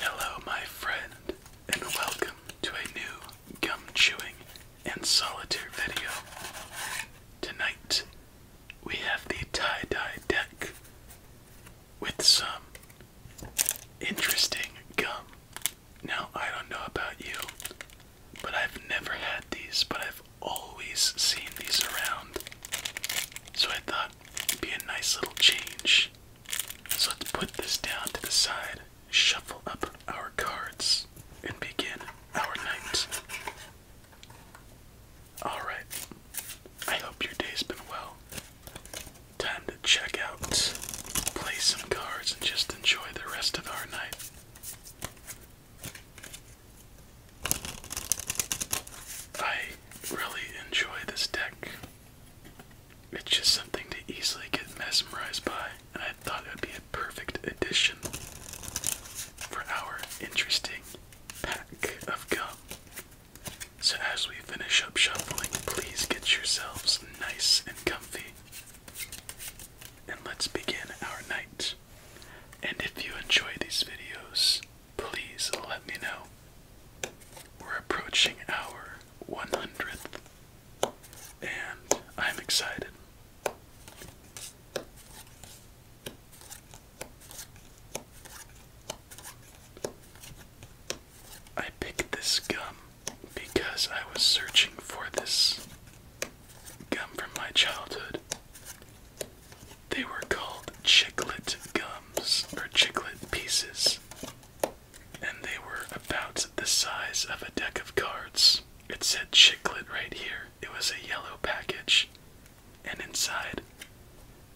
Hello, my friend, and welcome to a new gum chewing and solitaire video. Tonight, we have the tie dye deck with some interesting gum. Now, I don't know about you, but I've never had these, but I've always seen these around. So I thought uh, be a nice little change. So let's put this down to the side, shuffle up our cards, and begin our night. Alright, I hope your day's been well. Time to check out, play some cards, and just enjoy the rest of our night. I really enjoy this deck. It's just something to easily get mesmerized by, and I thought it would be a perfect addition for our interesting pack of gum. So, as we finish up shuffling, please get yourselves nice and comfy. And let's begin our night. And if you enjoy these videos, please let me know. We're approaching our 100th, and I'm excited. I picked this gum because I was searching for this gum from my childhood. They were called chiclet gums or chiclet pieces, and they were about the size of a deck of cards. It said chiclet right here. It was a yellow package, and inside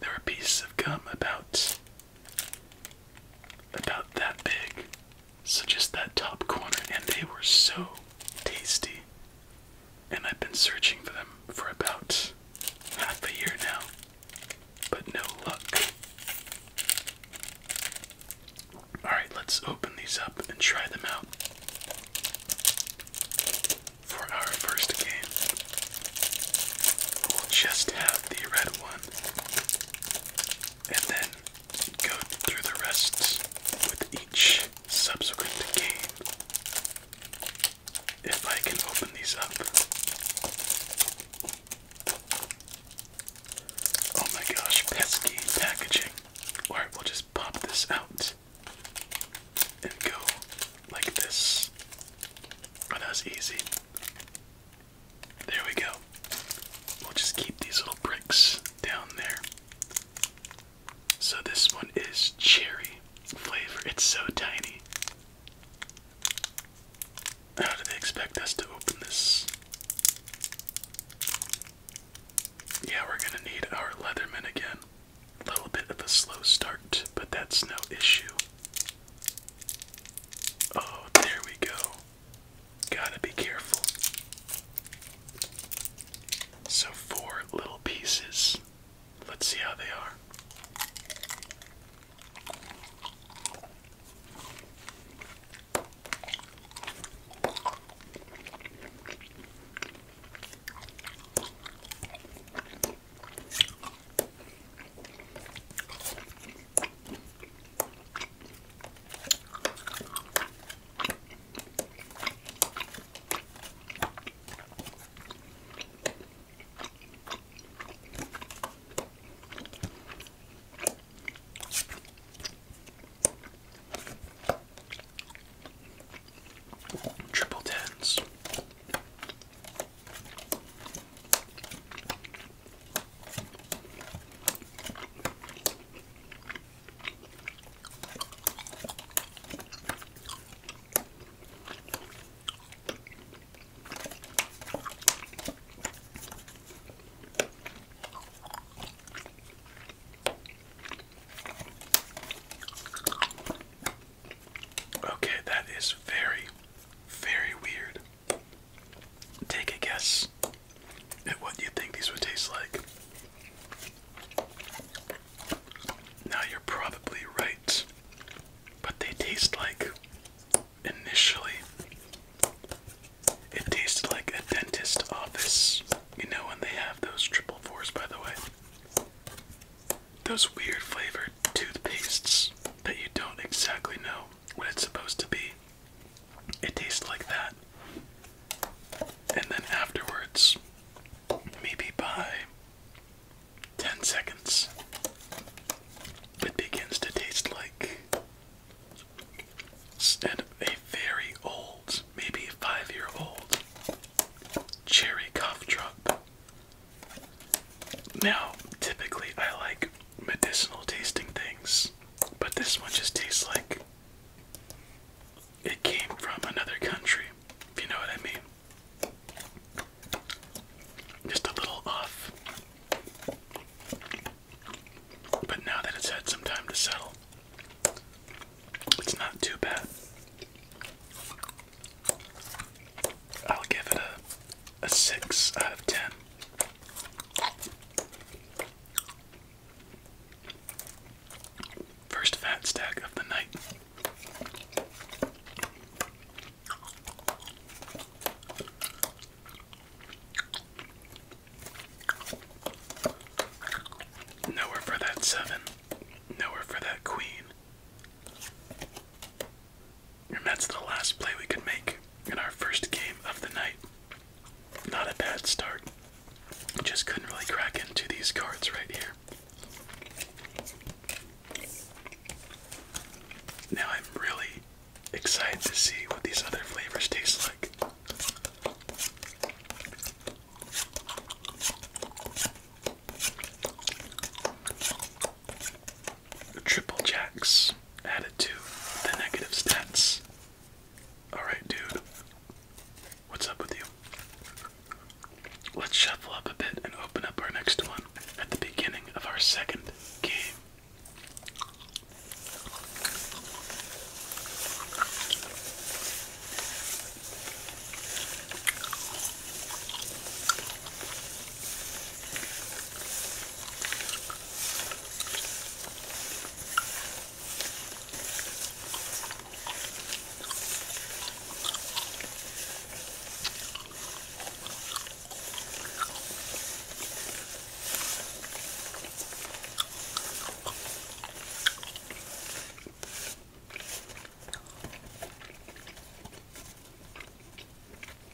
there were pieces of gum about about that big. So just that top corner, and they were so tasty and I've been searching for them for about half a year now, but no luck. Alright, let's open these up and try them out for our first game. We'll just have the red one and then go through the rest with each subsequent game if I can open these up. Oh my gosh, pesky packaging. Alright, we'll just pop this out and go like this. Oh, that was easy. There we go. We'll just keep these little bricks down there. So this one is cherry flavor. It's so tiny. How do they expect us to open this? Yeah, we're gonna need our Leatherman again. A little bit of a slow start, but that's no issue. Oh, there we go. Gotta be careful. So, four little pieces. Let's see how they are. Triple tens. Okay, that is very, very weird. Take a guess at what you think these would taste like. Now you're probably right, but they taste like initially, it tasted like a dentist office. You know when they have those triple fours, by the way? Those weird flavored toothpastes that you don't exactly know what it's supposed to be. It tastes like that. And then afterwards, maybe by 10 seconds, it begins to taste like instead a very old, maybe five year old cherry cough drop. Now, typically, I like medicinal tasting things, but this one just tastes like it came from another country, if you know what I mean. Just a little off. But now that it's had some time to settle, it's not too bad. I'll give it a, 6 out of 10. First fat stack of the night. Nowhere for that seven. Nowhere for that queen. And that's the last play we could make in our first game of the night. Not a bad start. Just couldn't really crack into these cards right here. Now I'm really excited to see what these other flavors taste like. Triple jacks added to the negative stats. Alright, dude. What's up with you? Let's shuffle up a bit and open up our next one at the beginning of our second game.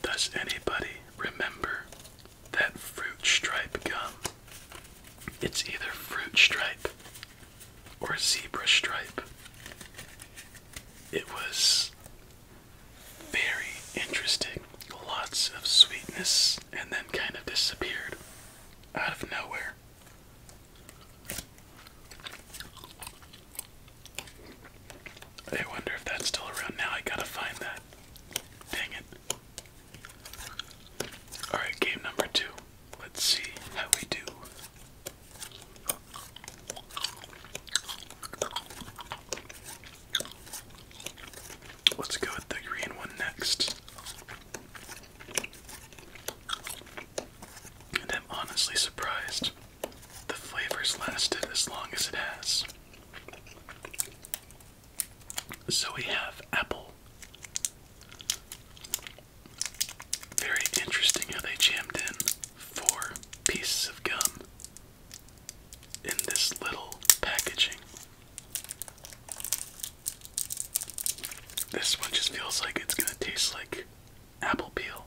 Does anybody remember that fruit stripe gum? It's either fruit stripe or a zebra stripe. It was very interesting. Lots of sweetness and then kind of disappeared out of nowhere. I wonder if that's still around now. I gotta find that. Dang it. Alright, game number two. Let's see how we do. Let's go with the green one next. I'm honestly surprised the flavors lasted as long as it has. So we have apple, very interesting how they jammed in four pieces of gum in this little packaging. This one just feels like it's gonna taste like apple peel.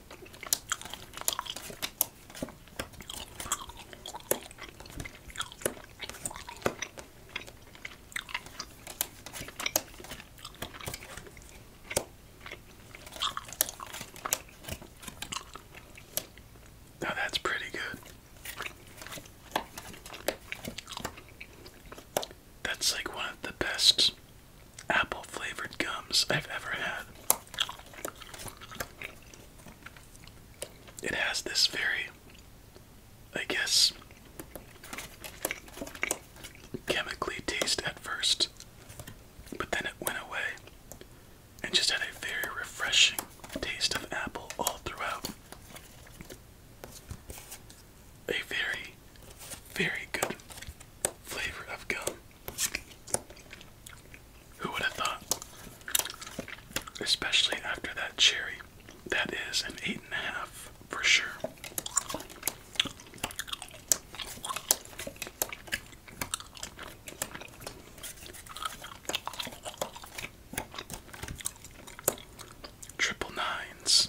Now that's pretty good. That's like one of the best apple flavored gums I've ever had. It has this very, I guess, chemically taste at first, but then it went away and just had a very refreshing taste of apple all throughout. A very, very good flavor of gum. Who would have thought? Especially after that cherry. That is an eight and a half for sure. Triple nines.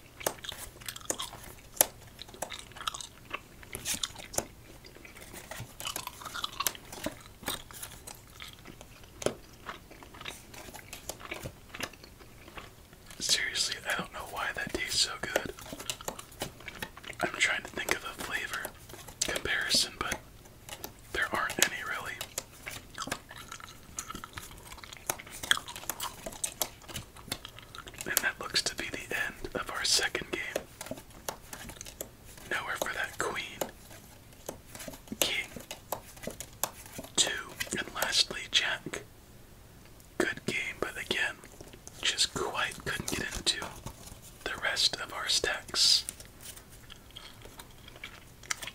Seriously, I don't know why that tastes so good. I'm trying to think of a flavor comparison, but there aren't any really. And that looks to be the end of our second game. Nowhere for that queen, king, two, and lastly jack. Good game, but again, just quite couldn't get into the rest of our stacks.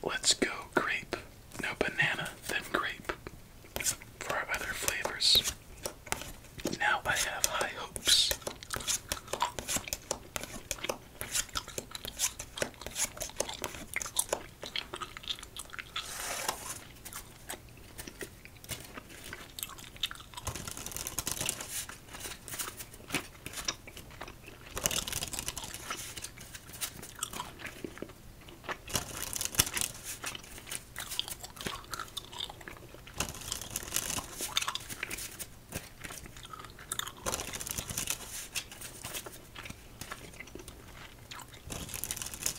Let's go grape. No banana, then grape for our other flavors. Now I have high hopes.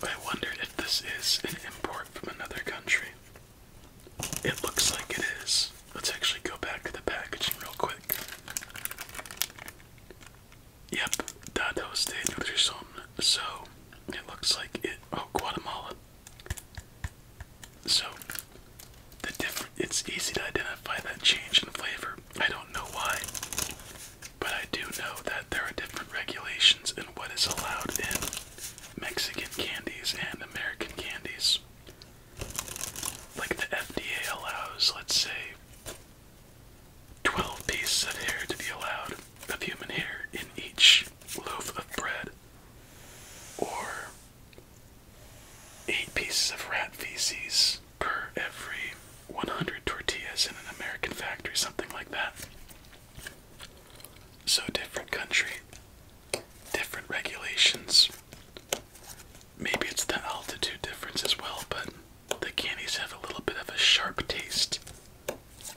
I wonder if this is an import from another country. It looks like it is. Let's actually go back to the packaging real quick. Yep, da State Nutrition. So, it looks like it. Oh, Guatemala. So, the different. It's easy to identify that change in flavor. I don't know why, but I do know that there are different regulations in what is allowed in Mexican candies and American candies. Like the FDA allows, let's say, Twelve pieces of hair to be allowed of human hair in each loaf of bread, or eight pieces of rat feces per every 100 tortillas in an American factory, something like that. So, different country, different regulations. Maybe it's the altitude difference as well, but the candies have a little bit of a sharp taste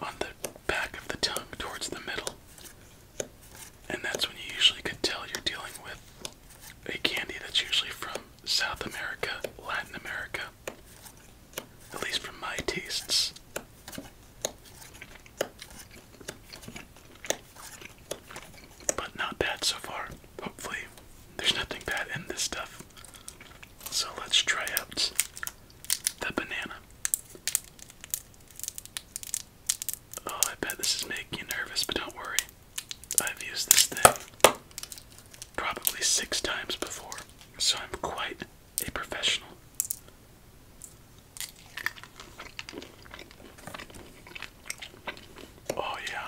on the back of the tongue towards the middle. And that's when you usually could tell you're dealing with a candy that's usually from South America, Latin America, at least from my tastes. But not bad so far. Hopefully, there's nothing bad in this stuff. So let's try out the banana. Oh, I bet this is making you nervous, but don't worry. I've used this thing probably six times before, so I'm quite a professional. Oh, yeah.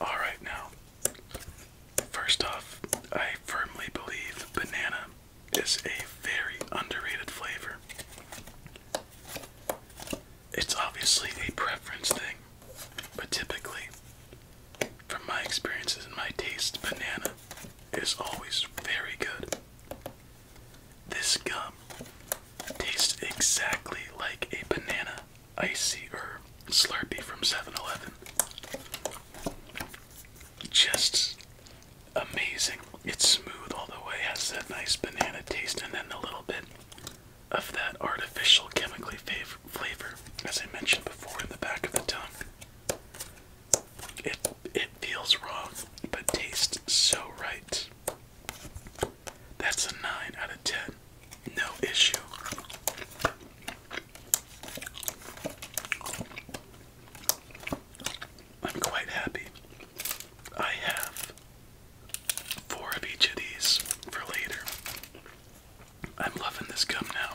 All right, now, first off, I firmly believe banana is a very underrated flavor. It's obviously a preference thing, but typically, from my experiences and my taste, banana is always very good. This gum tastes exactly like a banana icy or slurpee from 7 Eleven. Just amazing. It's smooth all the way, has that nice banana taste, and then a little bit of that artificial chemically fav flavor, as I mentioned before, in the back of the tongue. It it feels wrong, but tastes so right. That's a nine out of ten, no issue. I'm quite happy. I have four of each of these for later. I'm loving this gum now.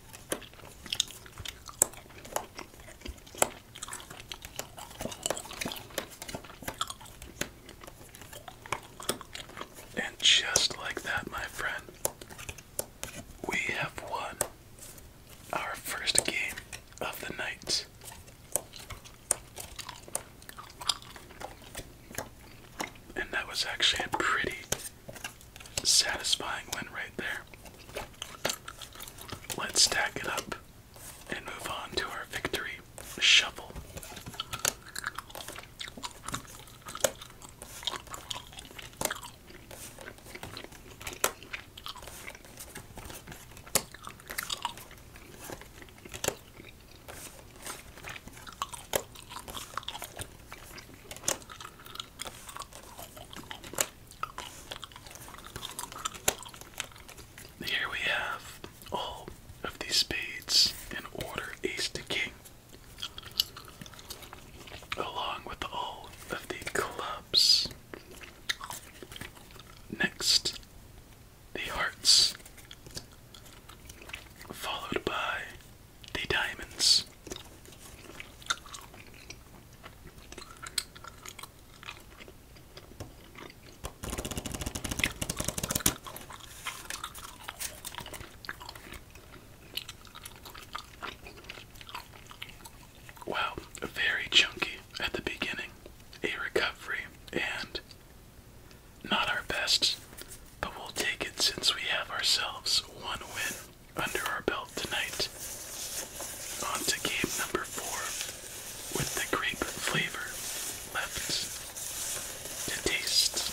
And just like that, my friend, we have won our first game of the night. And that was actually a pretty Satisfying win right there. Let's stack it up and move on to our victory shovel. Here we have all of these spades in order ace to king, along with all of the clubs. Next, the hearts, followed by the diamonds. Wow, very chunky at the beginning. A recovery and not our best, but we'll take it since we have ourselves one win under our belt tonight. On to game number four with the grape flavor left to taste.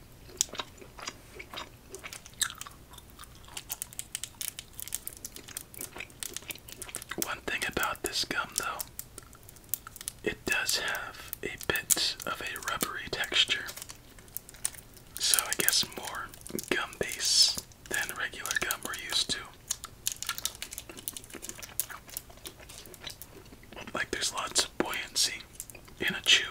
One thing about this gum, though, it does have a bit of a rubbery texture. So, I guess more gum base than regular gum we're used to. Like, there's lots of buoyancy in a chew.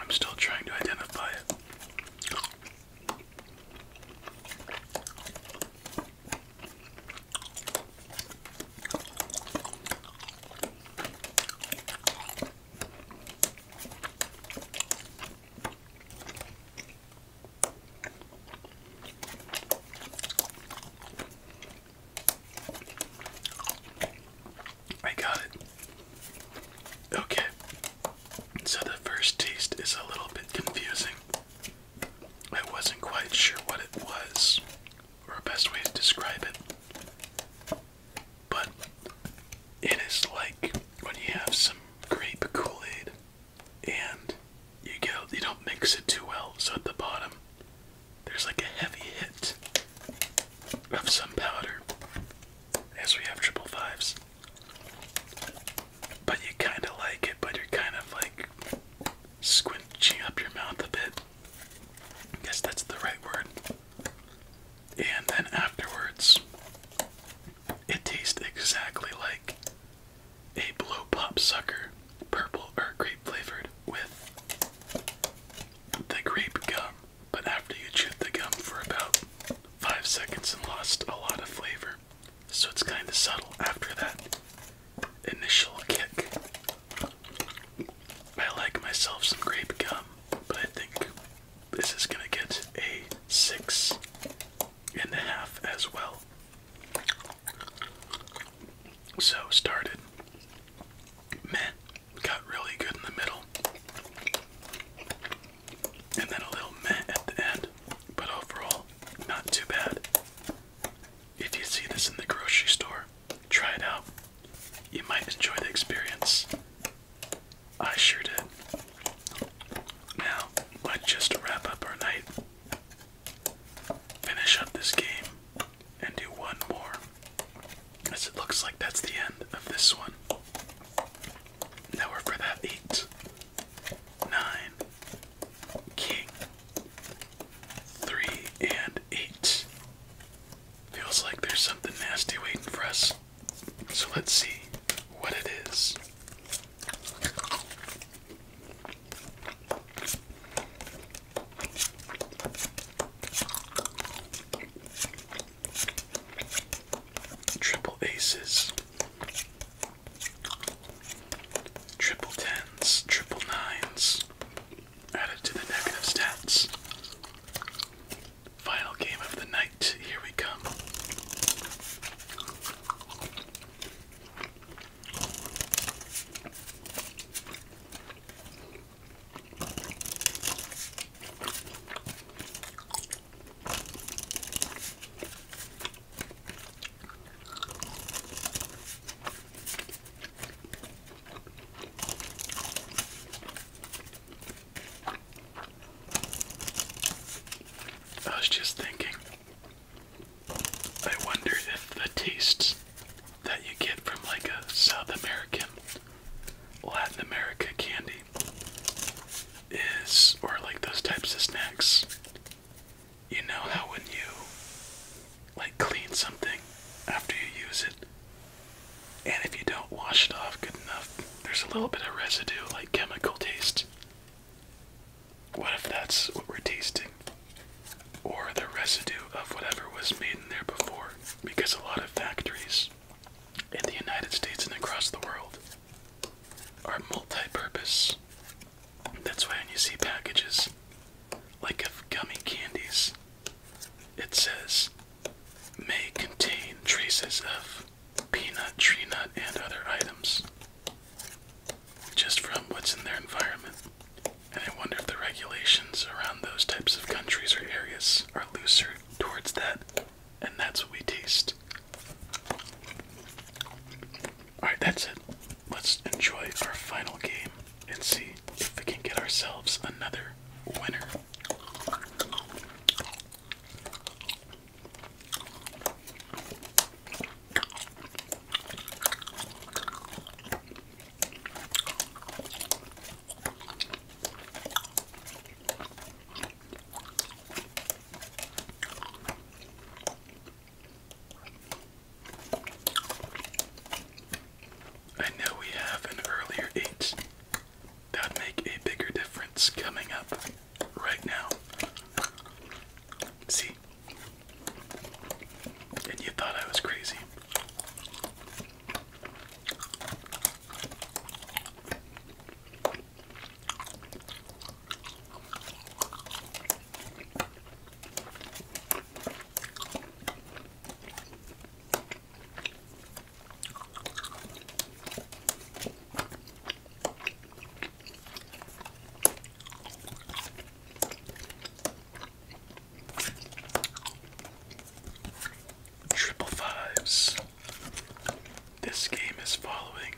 I'm still trying to identify it. I got it. Okay. So the first taste is a little bit confusing. I wasn't quite sure what it was, or a best way to describe it. But it is like when you have some grape Kool-Aid and you get you don't mix it too well, so at the bottom there's like a heavy hit of some powder. As we have triple fives. But you kind of like it, but you're kind of like squinching up your mouth a bit. I guess that's the right word. And then afterwards, it tastes exactly like a blow pop sucker, purple or grape flavored, with the grape gum. But after you chew the gum for about five seconds and lost a lot of flavor, so it's kind of subtle after that initial kick. I like myself some grape gum, but I think this is gonna get a six and a half as well. So started. Man, got really good in the middle and then a little meh at the end. But overall, not too bad. If you see this in the grocery store, try it out. You might enjoy the experience. I sure did. Now, let just wrap up our night, finish up this game, and do one more. As it looks like that's the end of this one. Now we're for that eight nine, king, three, and eight. Feels like there's something nasty waiting for us. So let's see what it is. Triple aces. Triple tens, triple nines, added to the negative stats. Final game of the night, here we come. I was just thinking, I wonder if the tastes that you get from like a South American, Latin America candy is, or like those types of snacks, you know how when you like clean something after you use it, and if you don't wash it off good enough, there's a little bit of residue, like chemical taste. What if that's what we're tasting? Or the residue of whatever was made in there before? Because a lot of factories in the United States and across the world are multi-purpose. That's why when you see packages like of gummy candies, it says may contain traces of peanut, tree nut, and other items. Just from what's in their environment. And I wonder if the regulations around those types of countries or areas are looser towards that and that's what we taste. Alright, that's it. Let's enjoy our final game and see if we can get ourselves another winner. I know we have an earlier eight. That would make a bigger difference coming up right now. See? And you thought I was crazy. Triple fives. This game is following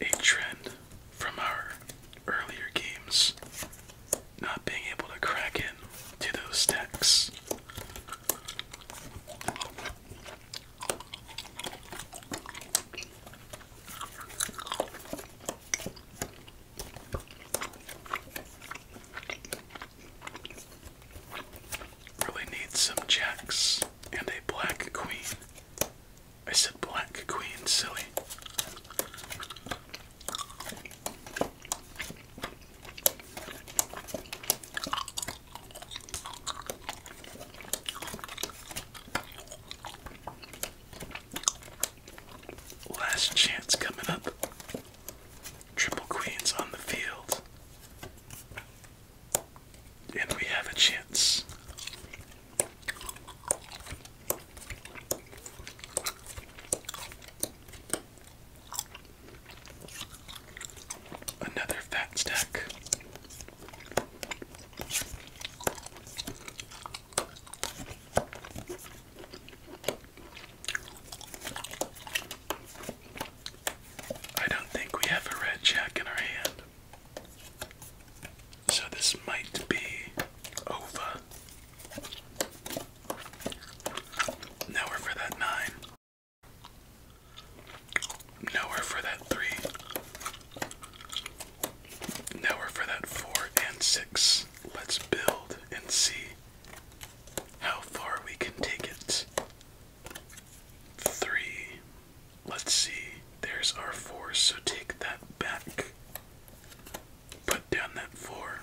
a trend from our earlier games, not being able to crack in to those stacks. Really needs some jacks and a black queen. I said black queen, silly. Last chance coming up. Triple queens on the field. And we have a chance. Another fat stack. I don't think we have a red jack in our hand. So this might be over. Nowhere for that nine. Nowhere for that three. Nowhere for that four and six. Let's build and see how far we can take it. Three, Let's see. There's our four, so take that back. Put down that four.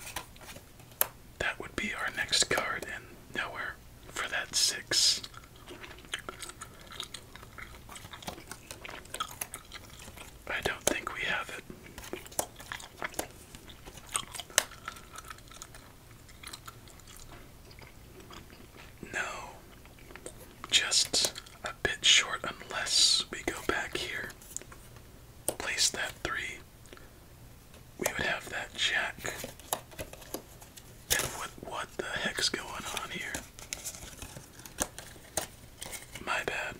That would be our next card, and now we're for that six. I don't think we have it. No, just a bit short unless we go back here, place that three. We would have that jack. And what what the heck's going on here? My bad.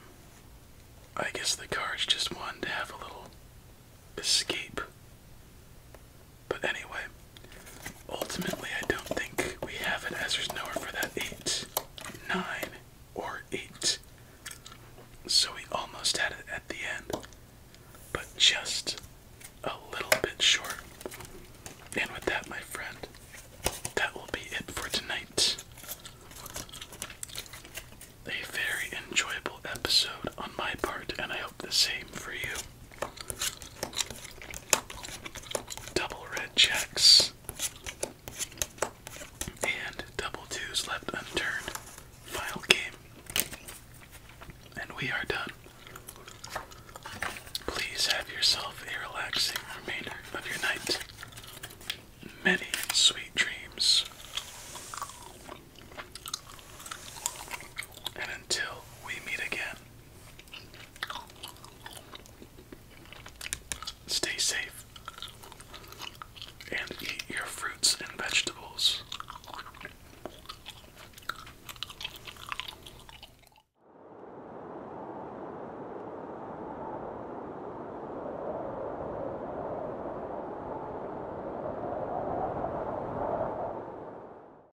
I guess the cards just wanted to have a little escape. But anyway, ultimately, I don't think we have an Ezra's Knower for that 8, 9, or 8. So we almost had it at the end, but just a little bit short. And with that, my friend, that will be it for tonight. A very enjoyable episode on my part, and I the same for you. Double red checks and double twos left unturned. Final game. And we are done. Please have yourself a relaxing remainder of your night. Many sweet dreams. And until we meet again, Stay safe and eat your fruits and vegetables.